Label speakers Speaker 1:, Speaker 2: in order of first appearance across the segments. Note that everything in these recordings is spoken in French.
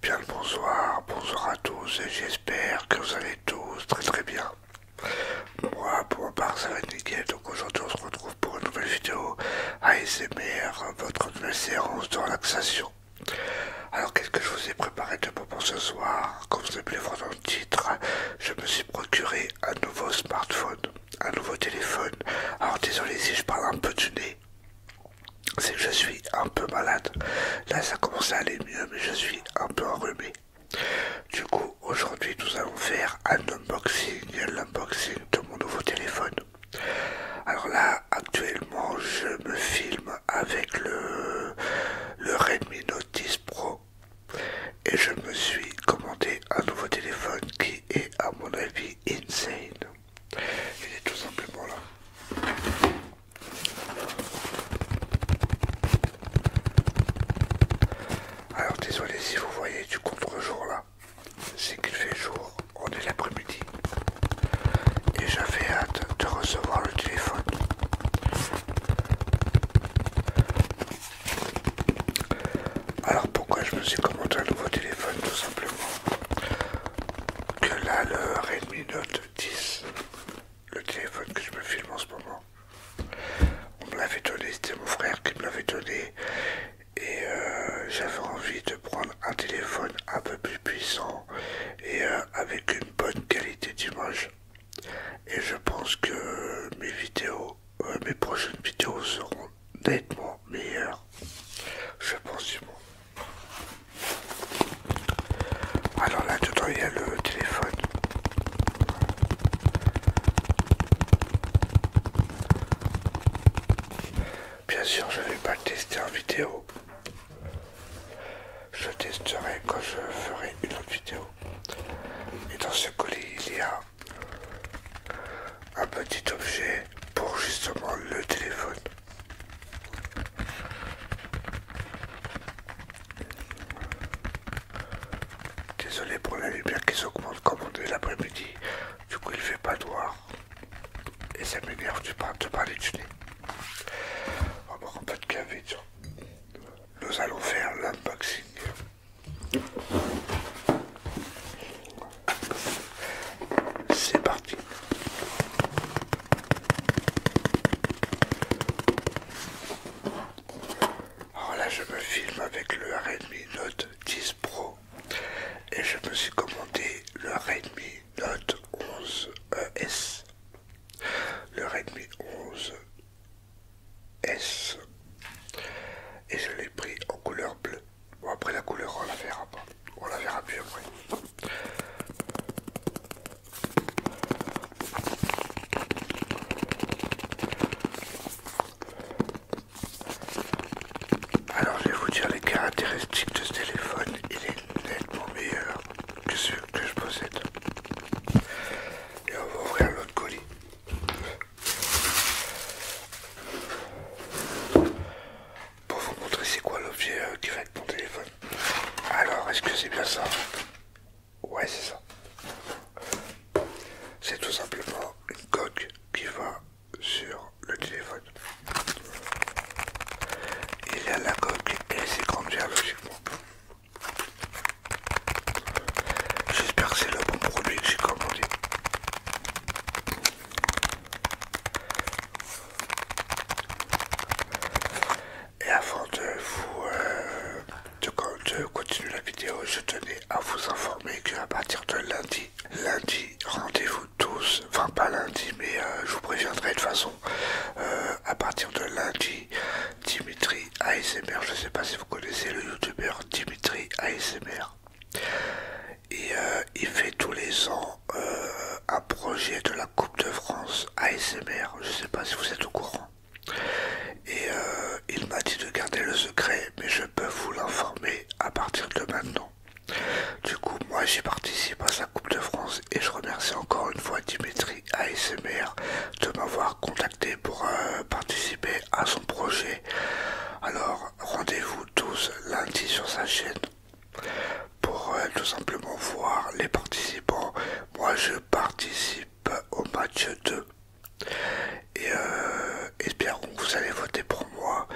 Speaker 1: Bien le bonsoir, bonsoir à tous et j'espère que vous allez tous très très bien. Moi pour ma part ça va être nickel, donc aujourd'hui on se retrouve pour une nouvelle vidéo ASMR, votre nouvelle séance de relaxation. Alors qu'est-ce que je vous ai préparé de bon pour ce soir Comme vous avez voir dans le titre, je me suis procuré un nouveau smartphone, un nouveau téléphone. Alors désolé si je parle un peu du nez, c'est que je suis un peu malade. Là ça commence à aller mieux, mais je suis un peu enrhumé. Du coup, aujourd'hui nous allons faire un unboxing, l'unboxing de mon nouveau téléphone. Alors là, actuellement, je me filme avec le, Redmi Note 10 Pro et je me suis commandé un nouveau téléphone qui est, à mon avis, insane. Il est tout simplement là. Alors désolé si vous voyez du contre-jour là c'est qu'il fait jour, on est l'après-midi. Et j'avais hâte de recevoir le téléphone. Alors pourquoi je me suis commandé un nouveau téléphone tout simplement Que là et Redmi Note 10, le téléphone que je me filme en ce moment, on me l'avait donné, c'était mon frère qui me l'avait donné et euh, j'avais envie de prendre un téléphone un peu plus puissant et euh, avec une bonne qualité d'image et je pense que mes vidéos euh, mes prochaines vidéos seront nettement meilleures je pense du moins alors là dedans il y a le téléphone Bien sûr, je ne vais pas tester en vidéo. Je testerai quand je ferai une autre vidéo. Et dans ce colis, il y a un petit objet pour justement le téléphone. Désolé pour la lumière qui s'augmente comme on est l'après-midi. Du coup, il fait pas noir. Et ça m'énerve de, pas de parler du nez. On va prendre un de café, Nous allons faire l'unboxing. C'est parti. Alors là, je me filme avec le RMI Note 10 Pro et je me suis commandé le Redmi Note 11S. Euh, le Redmi 11S. Et je l'ai pris en couleur bleue. Bon après la couleur on la verra pas. On la verra plus après. Alors je vais vous dire les caractéristiques de ce téléphone. Il est nettement meilleur que celui que je possède. Et on va ouvrir l'autre colis. Pour vous montrer c'est quoi l'objet direct euh, qui va mon téléphone. Alors est-ce que c'est bien ça Ouais c'est ça c'est tout simplement une coque qui va sur le téléphone. Il y a la coque et ses grandir logiquement. J'espère que c'est le bon produit que j'ai commandé. Et avant de vous euh, de, continuer la vidéo, je tenais à vous informer que à partir de lundi, lundi, rendez-vous tous, enfin pas lundi, mais euh, je vous préviendrai de façon, euh, à partir de lundi, Dimitri ASMR, je ne sais pas si vous connaissez le youtubeur Dimitri ASMR. Et euh, il fait tous les ans un projet de la Coupe de France ASMR. Je ne sais pas si vous êtes au courant. Et euh, il m'a dit de garder le secret, mais je peux vous l'informer à partir de maintenant. Du coup, moi j'y participe à sa Coupe de France et je remercie encore une fois Dimitri ASMR de m'avoir contacté pour euh, participer à son projet. Alors, rendez-vous tous lundi sur sa chaîne pour euh, tout simplement voir les participants. Moi je participe au match 2 et euh, espérons que vous allez voter pour moi.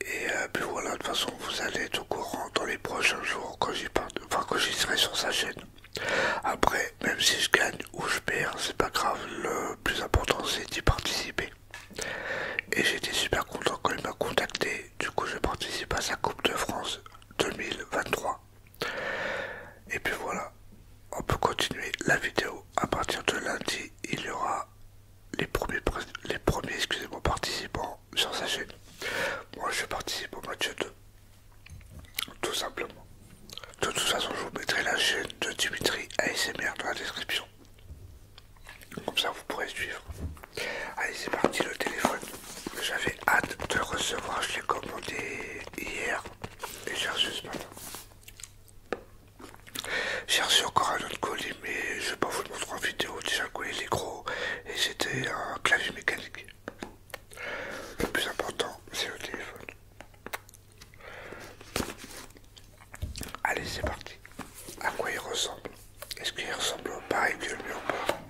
Speaker 1: Et euh, puis voilà, de toute façon, vous allez être au courant dans les prochains jours quand j'y serai sur sa chaîne. Après, même si je gagne ou je perds, c'est pas grave, le plus important c'est d'y participer. Et j'étais super content quand il m'a contacté, du coup je participe à sa Coupe de France 2023. Et puis voilà, on peut continuer la vidéo. À partir de lundi, il y aura les premiers, les premiers excusez participants sur sa chaîne. Moi, je participe au match 2. Tout simplement. De toute façon, je vous mettrai la chaîne de Dimitri ASMR dans la description. Comme ça, vous pourrez suivre. Allez, c'est parti le téléphone. J'avais hâte de le recevoir. Je l'ai commandé hier. Et j'ai reçu ce matin. J'ai reçu encore un autre colis, mais je vais pas vous le montrer en vidéo. Déjà, quoi, il est gros et c'était un clavier mécanique. Le plus important, c'est le téléphone. Allez, c'est parti. À quoi il ressemble Est-ce qu'il ressemble pareil que le mur ou pas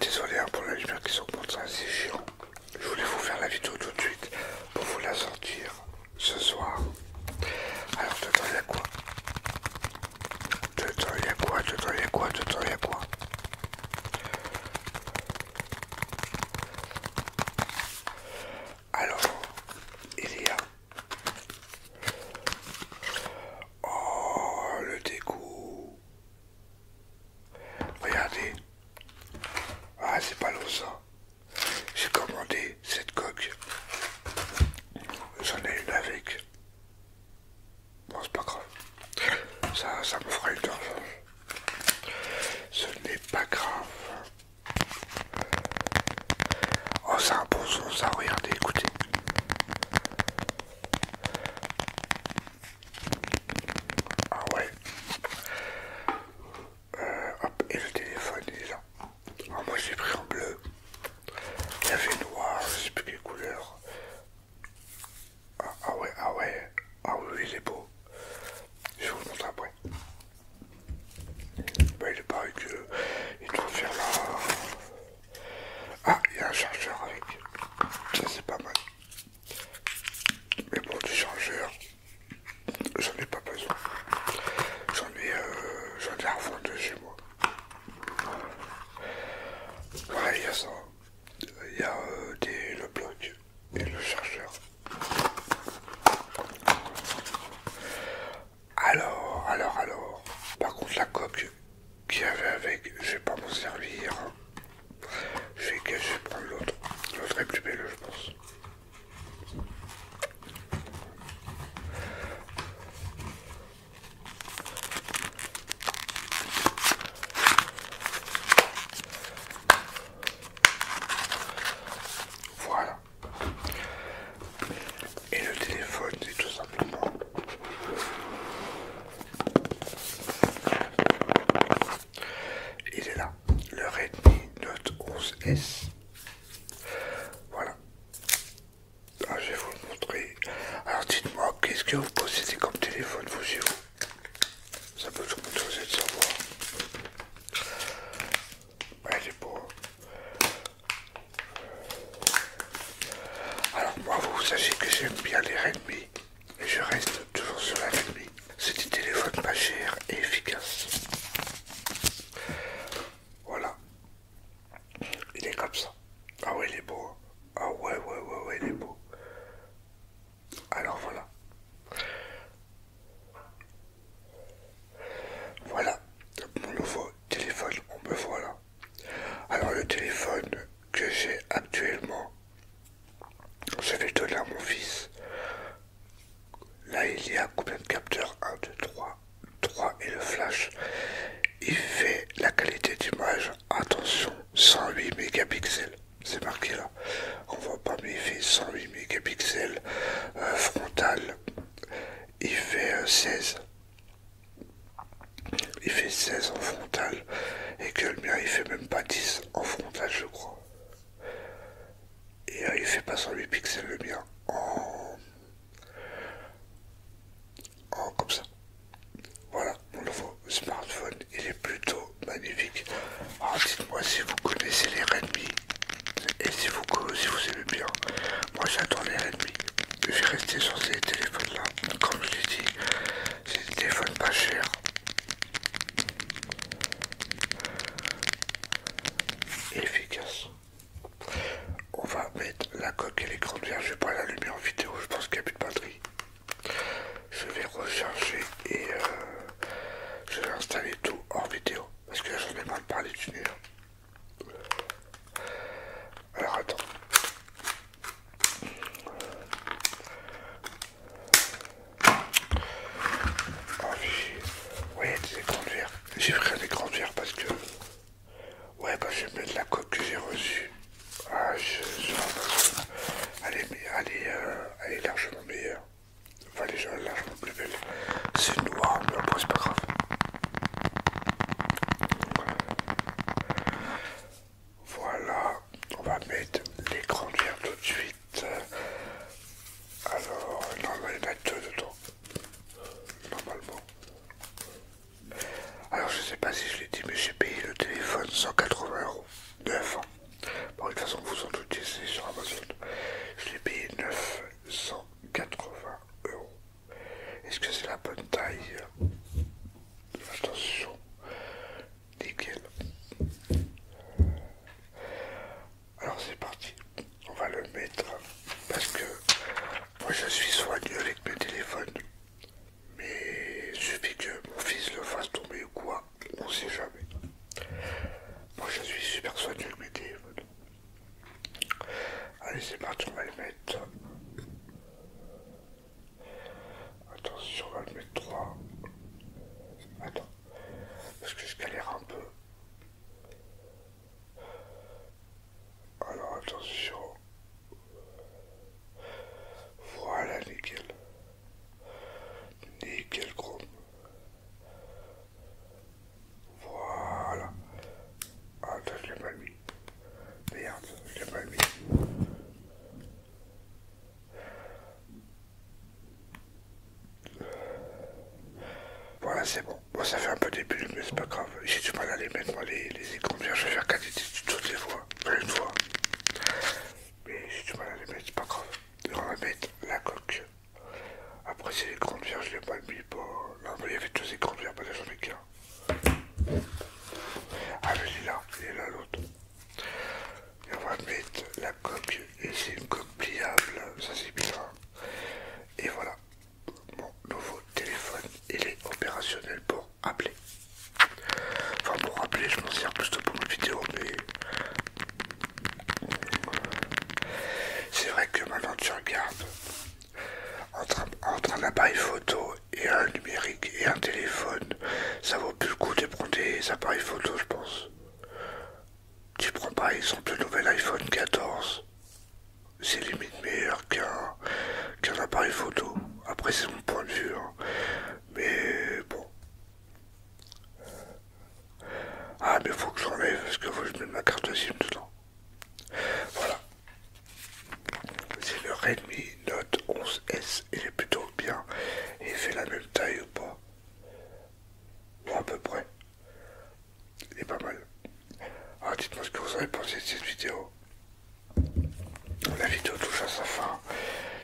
Speaker 1: Désolé hein, pour les lumières qui sont ça c'est chiant. Je voulais vous faire la vidéo tout de suite pour vous la sortir ce soir. Alors dedans il y a quoi Dedans il y a quoi Dedans il y quoi Dedans il y a quoi Alors il y a Oh, le dégoût. Regardez. Ah, c'est pas l'eau ça. J'ai commandé cette coque. J'en ai une avec. Bon, c'est pas grave. Ça, ça me fera une urgence. Ce n'est pas grave. Oh, c'est un bon son, ça. Regardez, écoutez. Ah ouais. Euh, hop, et le téléphone est Ah, moi j'ai pris en bleu. Il y avait noir, je sais plus quelle couleur. Ah, ah ouais, ah ouais. Ah oui, il est beau. Je vous montre après. Bah, il est pareil que il doit faire là. Ah, il y a un chargeur avec. Ça, c'est pas mal. Mais bon, du chargeur, j'en ai pas besoin. J'en ai, euh, j'en ai à de chez moi. Ouais, il y a ça. Il y a euh, le bloc et le chargeur. Alors, alors, alors. Par contre, la coque qu'il y avait avec, je vais pas m'en servir. Je vais, je vais prendre l'autre. L'autre est plus belle, je pense. Voilà. Et le téléphone, c'est tout simplement il est là, le Redmi Note 11S. Voilà. Ah, je vais vous le montrer. Alors dites-moi, qu'est-ce que vous possédez comme téléphone vous Ça peut tout le monde savoir il est beau. Alors moi, vous sachez que j'aime bien les Redmi. Et je reste toujours sur la Redmi. C'est des téléphones pas cher et efficace. Voilà. Il est comme ça. Ah ouais, il est beau. Hein. Ah ouais, ouais, ouais, ouais, il est beau. Alors voilà. Voilà mon nouveau téléphone, on me là. Alors le téléphone que j'ai actuellement, je vais donner à mon fils. Là il y a combien de capteurs 1, 2, 3, 3 et le flash. Il fait la qualité d'image, attention, 108 mégapixels. C'est marqué là. On voit pas mais il fait 108 mégapixels euh, frontal il fait 16 il fait 16 en frontal et que le mien il fait même pas 10 en frontal je crois et euh, il fait pas 108 pixels le mien en... en comme ça voilà mon nouveau smartphone il est plutôt magnifique alors ah, dites moi si vous connaissez les Redmi et si vous, si vous aimez bien, moi j'ai attendu la nuit. Je vais rester sur ces téléphones là. Comme je l'ai dit, c'est des téléphones pas chers. Efficace. On va mettre la coque et l'écran Je vais pas lumière en vidéo, je pense qu'il n'y a plus de batterie. Je vais recharger et euh, je vais installer tout en vidéo. Parce que j'en ai mal parlé parler du Alors attends. Ah, oui ouais, des écrans J'ai pris un écran de parce que... Ouais, bah je vais mettre la coque que j'ai reçue. Ah, je... Euh, elle est largement meilleure. Enfin, les gens, là, je plus belle. C'est noir, mais après, c'est pas grave. Voilà, on va mettre les grandières tout de suite. Alors, non, il y en a deux dedans. Normalement. Alors, je sais pas si je l'ai dit, mais j'ai payé le téléphone 180 euros. Bon, de toute façon, vous en doutez, c'est sur Amazon. Je l'ai payé 980 euros. Est-ce que c'est la bonne taille Attention, nickel. Alors c'est parti, on va le mettre parce que moi je suis soigné avec mes téléphones, mais il suffit que mon fils le fasse tomber ou quoi, on sait jamais. Moi je suis super soigné le mes Allez c'est parti, on va le mettre. Attention, on va le mettre 3. Attends, parce que je galère un peu. Alors attention. Voilà, nickel. Nickel chrome. Voilà. Attends, ah, je l'ai pas mis. Merde, je l'ai mis. Voilà, c'est bon. Bon, ça fait un peu des bulles, mais c'est pas grave. J'ai du mal à les mettre, moi, les, les écrans. Je vais faire qualité toutes les fois. une fois. Mais j'ai du mal à les mettre, c'est pas grave. On va mettre la coque. Après, c'est les grandes vierges je l'ai pas mis. Bon, là, il y avait tous ces écrans verres, pas j'en ai qu'un. Ah, mais il est là, il là l'autre. on va mettre la coque, et c'est une coque pliable, ça c'est bien, Et voilà, mon nouveau téléphone, il est opérationnel pour appeler. Enfin pour rappeler, je m'en sers plus pour une vidéo, mais c'est vrai que maintenant tu regardes entre, un appareil photo et un numérique et un téléphone, ça vaut plus le coup de prendre des appareils photo, je pense. Tu prends par exemple le nouvel iPhone 14, c'est limite meilleur qu'un appareil photo. Après, c'est mon point de vue, hein. mais bon, ah, mais faut que j'enlève parce que faut que je mette ma carte SIM dedans. Voilà. C'est le Redmi Note 11S. Il est plutôt bien. Il fait la même taille ou pas Ou à peu près. Il est pas mal. Ah, dites-moi ce que vous avez pensé de cette vidéo. La vidéo touche à sa fin.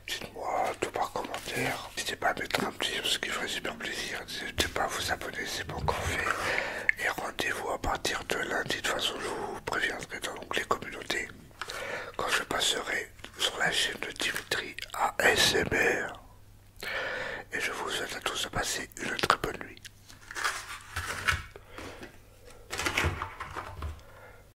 Speaker 1: Dites-moi tout par commentaire. N'hésitez pas à mettre un petit ce qui ferait super plaisir. N'hésitez pas à vous abonner, c'est pas encore fait. Et rendez-vous à partir de lundi. De toute façon, je vous préviendrai dans les communautés quand je passerai sur la chaîne de Dimitri ASMR. Et je vous souhaite à tous de passer une très bonne nuit.